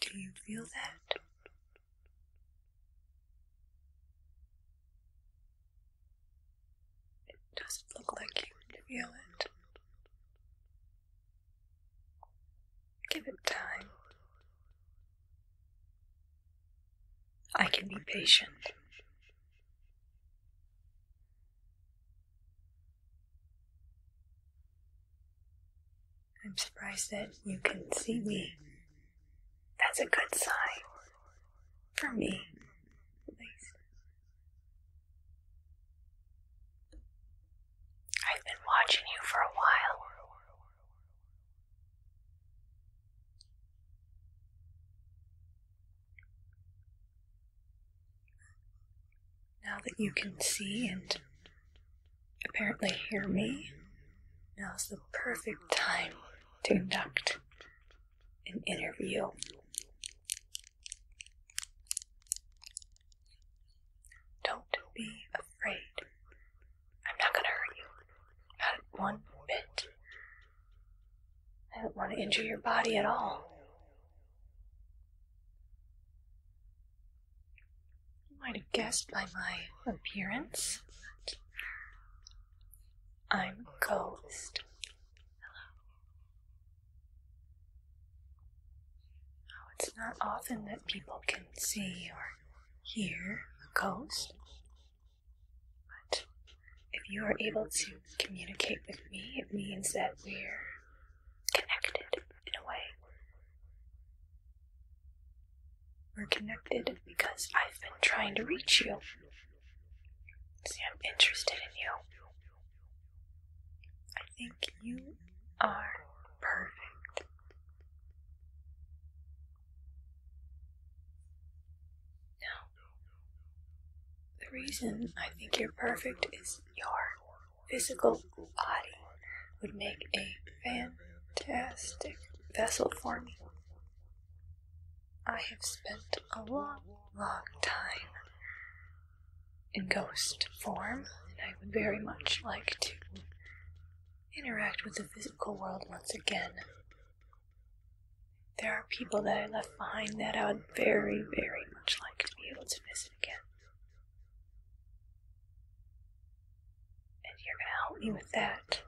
Do you feel that? It doesn't look like you feel it. Give it time. I can be patient. I'm surprised that you can see me. That's a good sign. For me, I've been watching you for a while. Now that you can see and apparently hear me, now's the perfect time to conduct an interview. Don't be afraid I'm not gonna hurt you. Not one bit. I don't want to injure your body at all. You might have guessed by my appearance. I'm a Ghost. Oh, it's not often that people can see or here on the coast. But if you are able to communicate with me, it means that we're connected in a way. We're connected because I've been trying to reach you. See, I'm interested in you. I think you are perfect now, the reason I think you're perfect is your physical body would make a fantastic vessel for me. I have spent a long, long time in ghost form, and I would very much like to interact with the physical world once again. There are people that I left behind that I would very, very much like to be able to visit again. And you're going to help me with that,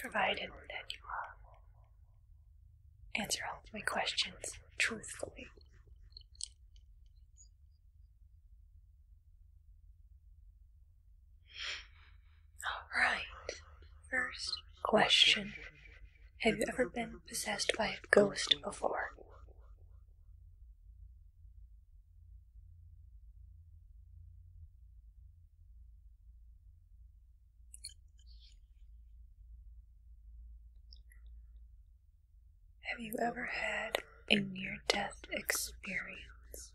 provided that you uh, answer all of my questions truthfully. Alright, first question Have you ever been possessed by a ghost before? Have you ever had a near death experience?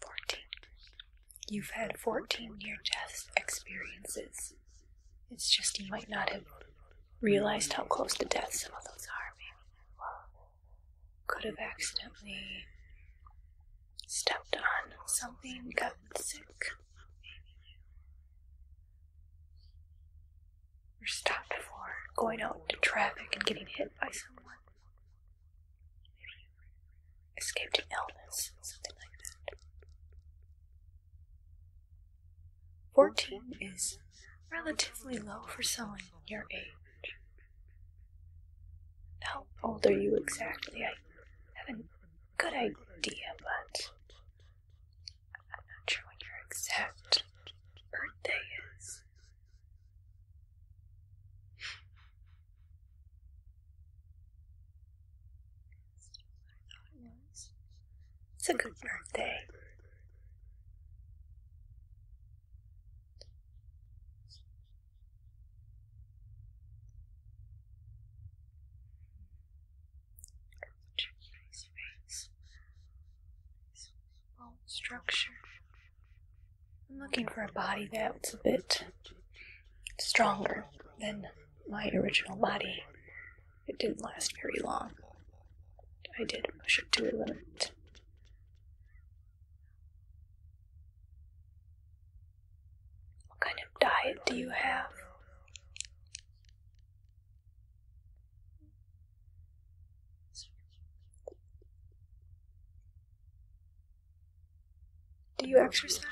14. You've had 14 near death experiences. It's just you might not have realized how close to death some of those are, maybe. Could have accidentally stepped on something, got sick. Or stopped for going out into traffic and getting hit by someone escaped an illness, something like that. 14 is relatively low for someone your age. How old are you exactly? I have a good idea, but I'm not sure when your exact birthday it's a good birthday. Nice face. Nice bone structure. I'm looking for a body that's a bit stronger than my original body. It didn't last very long. I did push it to a limit. What kind of diet do you have? Do you exercise?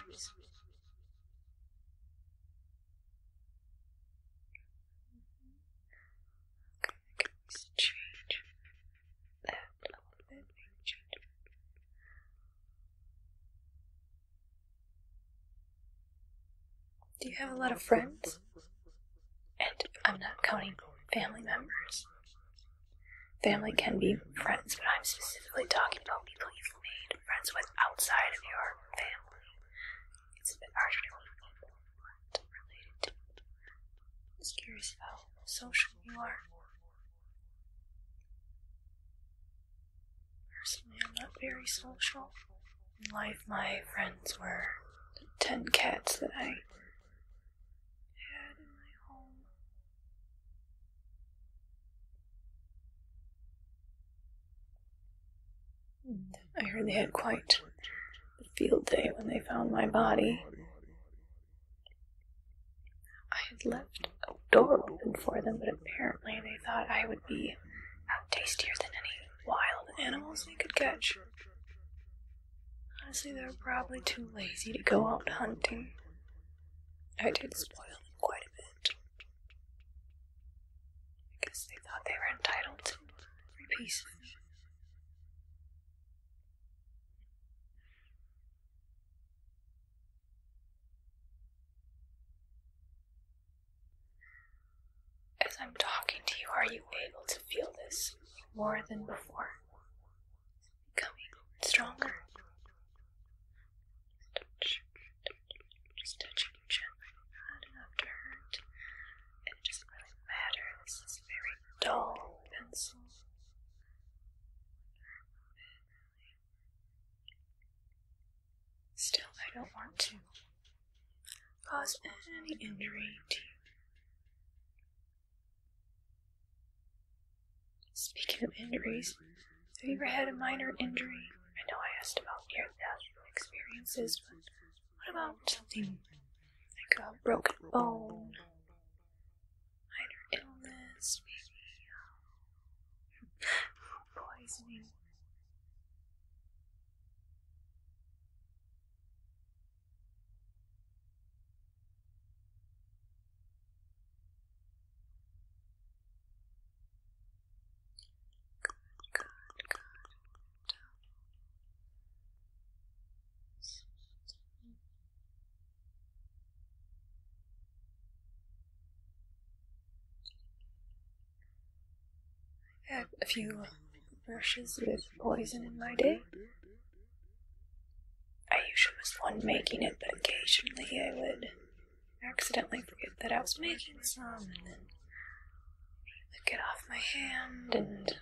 Okay, Do you have a lot of friends? And I'm not counting family members. Family can be friends, but I'm specifically talking about people you've made friends with outside of your family. It's a bit harder to meet people who related to it. I'm just curious how social you are. Personally, I'm not very social. In life, my friends were the ten cats that I I heard they had quite a field day when they found my body. I had left a door open for them, but apparently they thought I would be out tastier than any wild animals they could catch. Honestly, they're probably too lazy to go out hunting. I did spoil them quite a bit. Because they thought they were entitled to free pieces. As I'm talking to you, are you able to feel this? more than before, becoming stronger. Just touching you gently, not enough to hurt. It does really matter. This very dull pencil. Still, I don't want to cause any injury to you. Speaking of injuries, have you ever had a minor injury? I know I asked about near death experiences, but what about something like a broken bone? Minor illness, maybe um, poisoning? I had a few brushes with poison in my day, I usually was the one making it, but occasionally I would accidentally forget that I was making some, and then I would get off my hand, and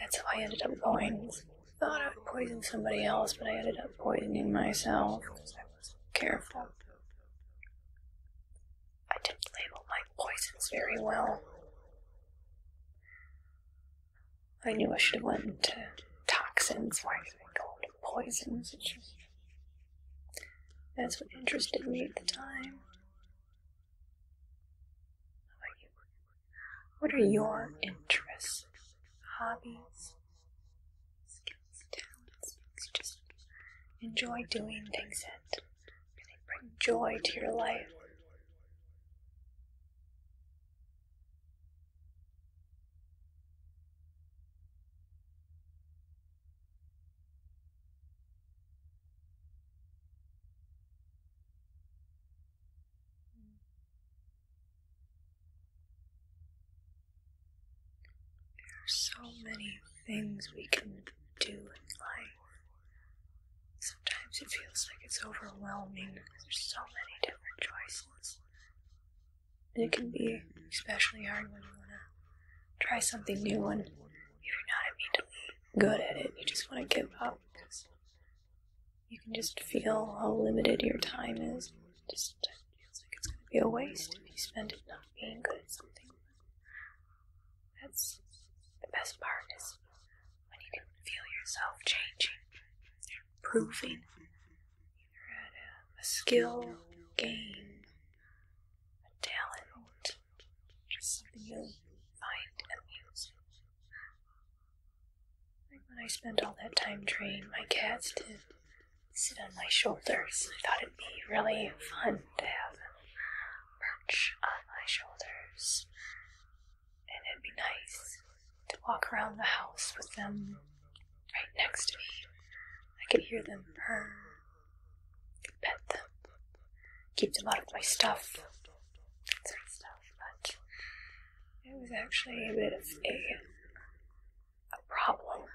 that's how I ended up going. Thought I would poison somebody else, but I ended up poisoning myself because I was careful. I didn't label my poisons very well. I knew I should have went to toxins. Why did I go into poisons? It's just, that's what interested me at the time. What are your interests, hobbies, skills, talents? Just enjoy doing things that really bring joy to your life. There are so many things we can do in life. Sometimes it feels like it's overwhelming. There's so many different choices. It can be especially hard when you want to try something new and if you're not immediately good at it, you just want to give up. You can just feel how limited your time is. It just feels like it's going to be a waste if you spend it not being good at something. That's the best part is when you can feel yourself changing, improving. You're at a, skill gain, a talent, just something you find amusing. Like when I spent all that time training my cats to sit on my shoulders, I thought it'd be really fun to have them perch on my shoulders, and it'd be nice to walk around the house with them right next to me. I could hear them purr, pet them, keep them out of my stuff, But it was actually a bit of a, a problem.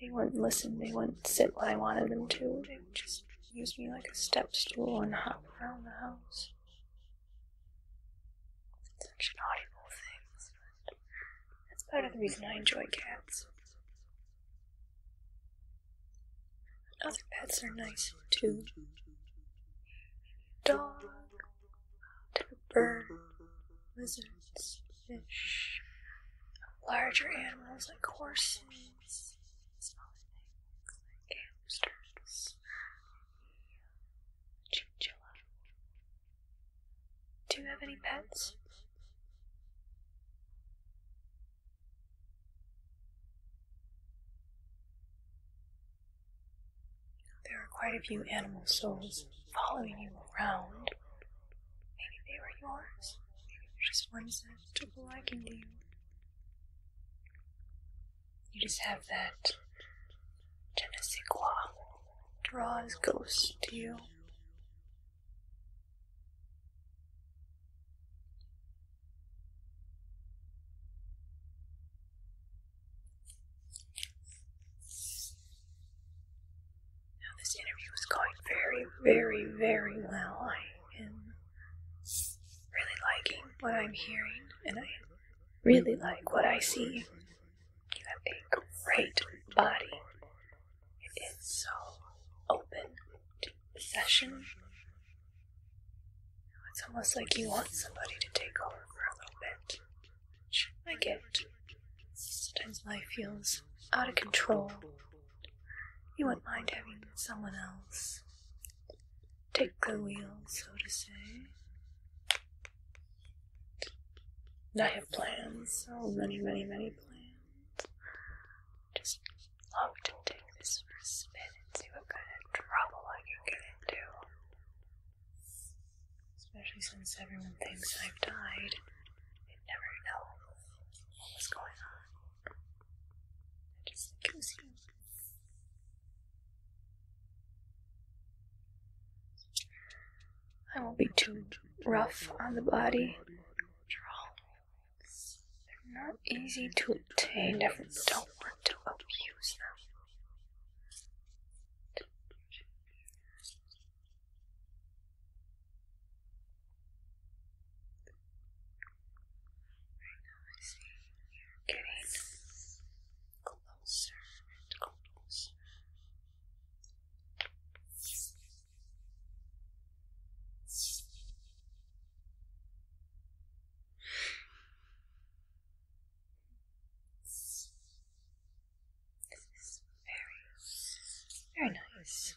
They wouldn't listen, they wouldn't sit when I wanted them to, Use me like a step stool and hop around the house. Such audible things, but that's part of the reason I enjoy cats. Other pets are nice too. Dog, bird, lizards, fish, larger animals like horses. Do you have any pets? There are quite a few animal souls following you around. Maybe they were yours. just one second comfortable I can do. You just have that Genesequa draws ghosts to you. Now, this interview was going very, very, very well am really liking what I'm hearing, and I really like what I see. You have a great body. It is so open to session. It's almost like you want somebody to take over for a little bit. Which I get. Sometimes life feels out of control, you wouldn't mind having someone else take the wheel, so to say. I have plans, so many, many, many plans. Just love to take this for a spin and see what kind of trouble I can get into. Especially since everyone thinks I've died. They never know what going on. I won't be too rough on the body. They're not easy to obtain. I don't want to abuse them. Right now I see you're getting closer and closer. This is very, very nice.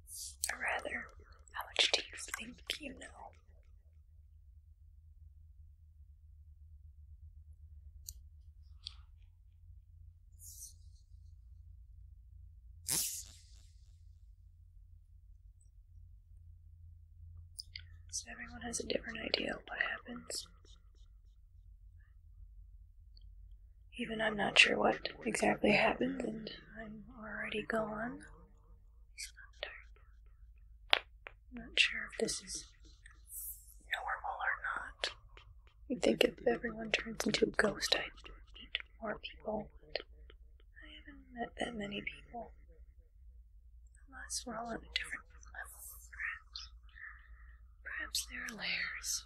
rather, how much do you think you know? So everyone has a different idea of what happens. Even I'm not sure what exactly happened, I'm already gone. He's left Not sure if this is normal or not. I think if everyone turns into a ghost, I'd meet more people. But I haven't met that many people. Unless we're all on a different level, perhaps. Perhaps there are layers.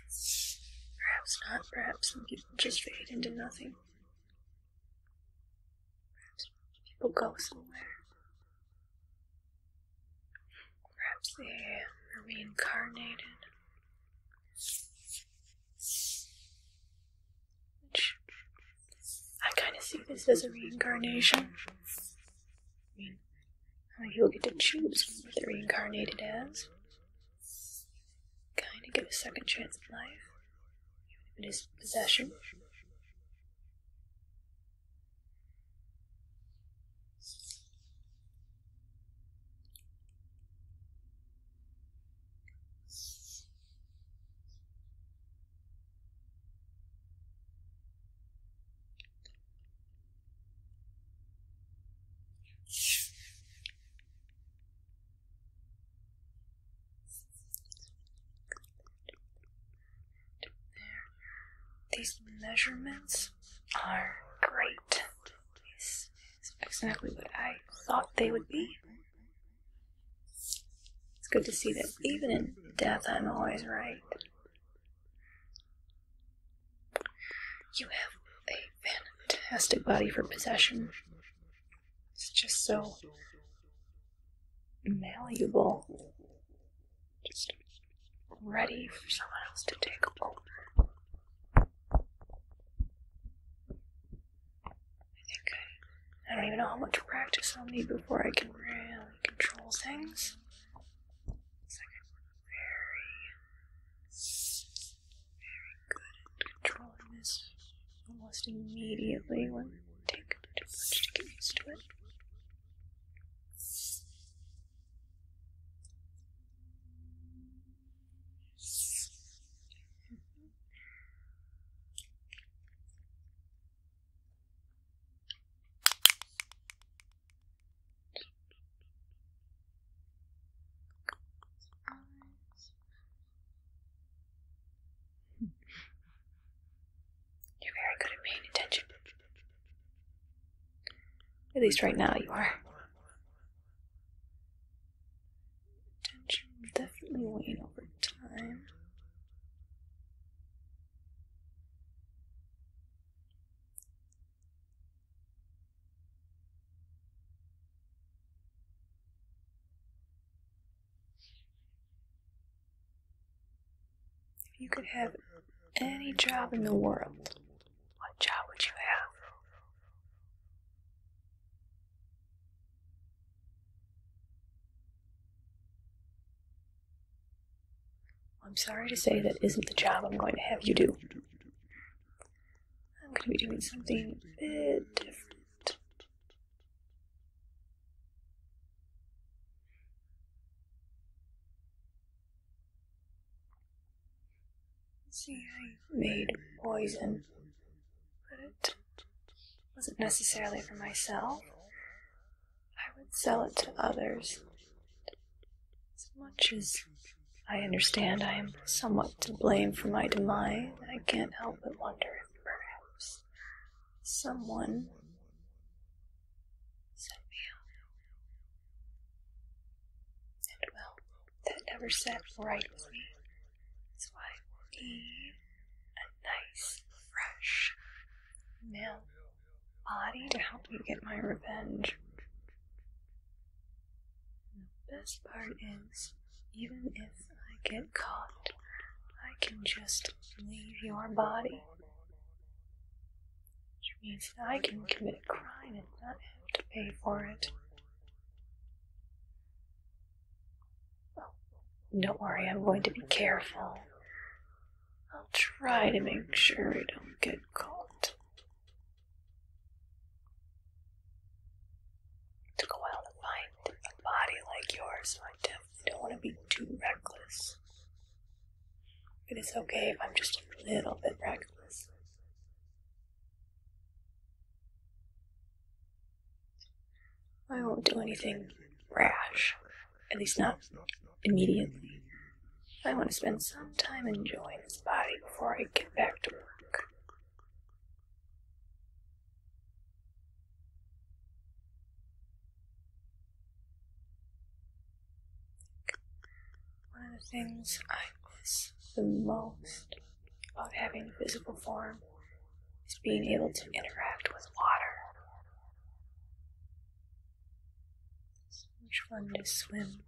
Perhaps not. Perhaps people just fade into nothing. Perhaps people go somewhere. Perhaps they are reincarnated. I kind of see this as a reincarnation. I mean, you people get to choose what they're reincarnated as kind of give a second chance at life, even if it is possession. These measurements are great. exactly what I thought they would be. It's good to see that even in death, I'm always right. You have a fantastic body for possession. It's just so malleable. Just ready for someone else to take over. I think I, don't even know how much practice I'll need before I can really control things. It's like a very very good at controlling this almost immediately. It will take a bit too much to get used to it. You're very good at paying attention. At least right now you are. Attention definitely wane over time. If you could have any job in the world, what job would you have? I'm sorry to say that isn't the job I'm going to have you do. I'm going to be doing something a bit different. See, I made poison, but it wasn't necessarily for myself. I would sell it to others as much as I understand I am somewhat to blame for my demise, I can't help but wonder if perhaps someone sent me And well, that never sat right with me. So I need a nice, fresh male body to help me get my revenge the best part is, even if I get caught, I can just leave your body. Which means I can commit a crime and not have to pay for it. Oh, don't worry, I'm going to be careful. I'll try to make sure I don't get caught took a while to find a body like yours, so I don't want to be too reckless. But it's okay if I'm just a little bit reckless. I won't do anything rash, at least not immediately. I want to spend some time enjoying this body before I get back to work. One of the things I miss the most about having a physical form is being able to interact with water. Which one will swim?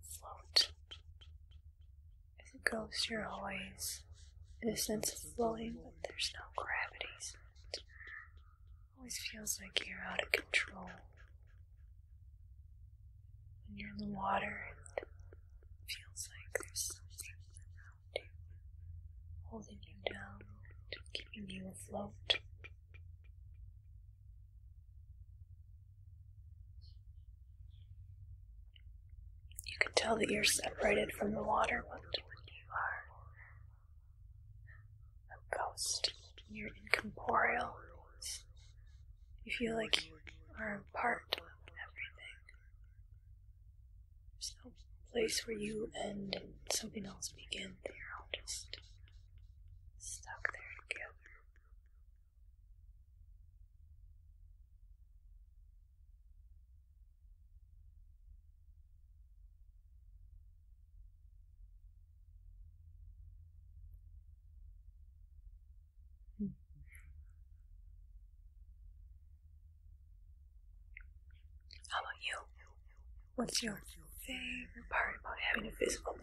Float. As it goes through always, there's a sense of floating, but there's no gravity. it always feels like you're out of control. When you're in the water, it feels like there's something holding you down, keeping you afloat. You can tell that you're separated from the water but you are a ghost. You're incorporeal. You feel like you are a part of everything. There's no place where you end and something else begins. You're all just stuck there together. How about you? What's your favorite part about having a physical body?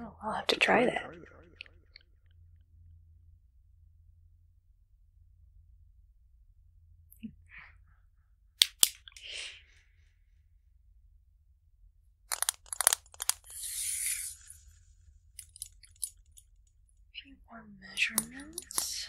Oh, I'll have to try that. few more measurements.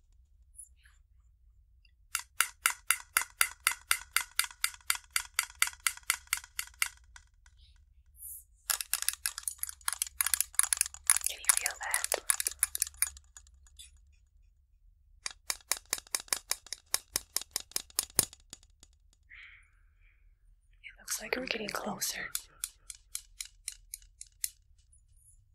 Can you feel that? It looks like we're getting closer.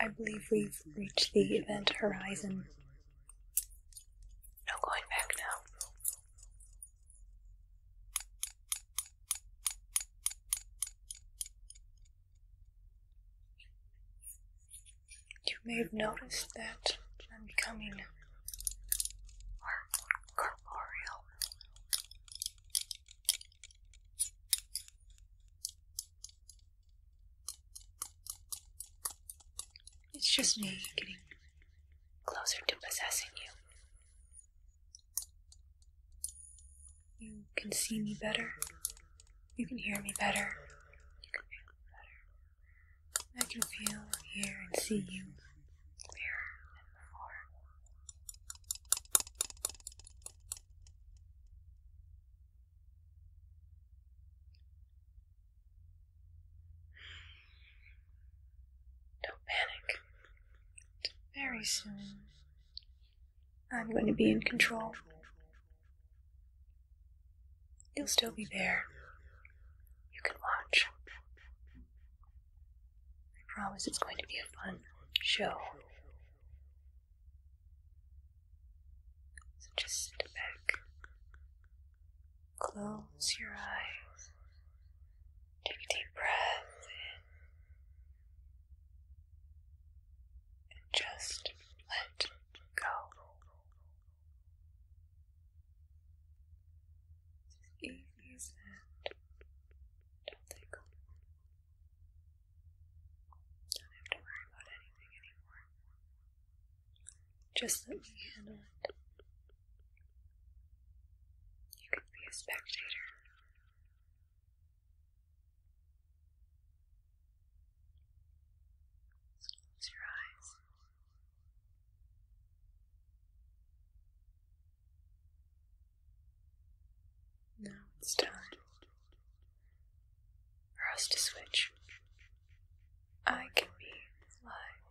I believe we've reached the event horizon. No going back now. You may have noticed that I'm becoming corporeal. It's just me getting closer to possessing you. You can see me better. You can hear me better. You can feel me I can feel, hear, and see you clearer than before. Don't panic. Very soon, I'm going to be in control. You'll still be there. You can watch. I promise it's going to be a fun show. So just sit back, close your eyes, take a deep breath in, and just let go. easy as that. Don't think don't have to worry about anything anymore. Just let me handle it. You can be a spectator. close your eyes. Now it's time for us to switch. I can be live,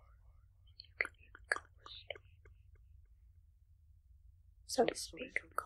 you can be So to speak, of course.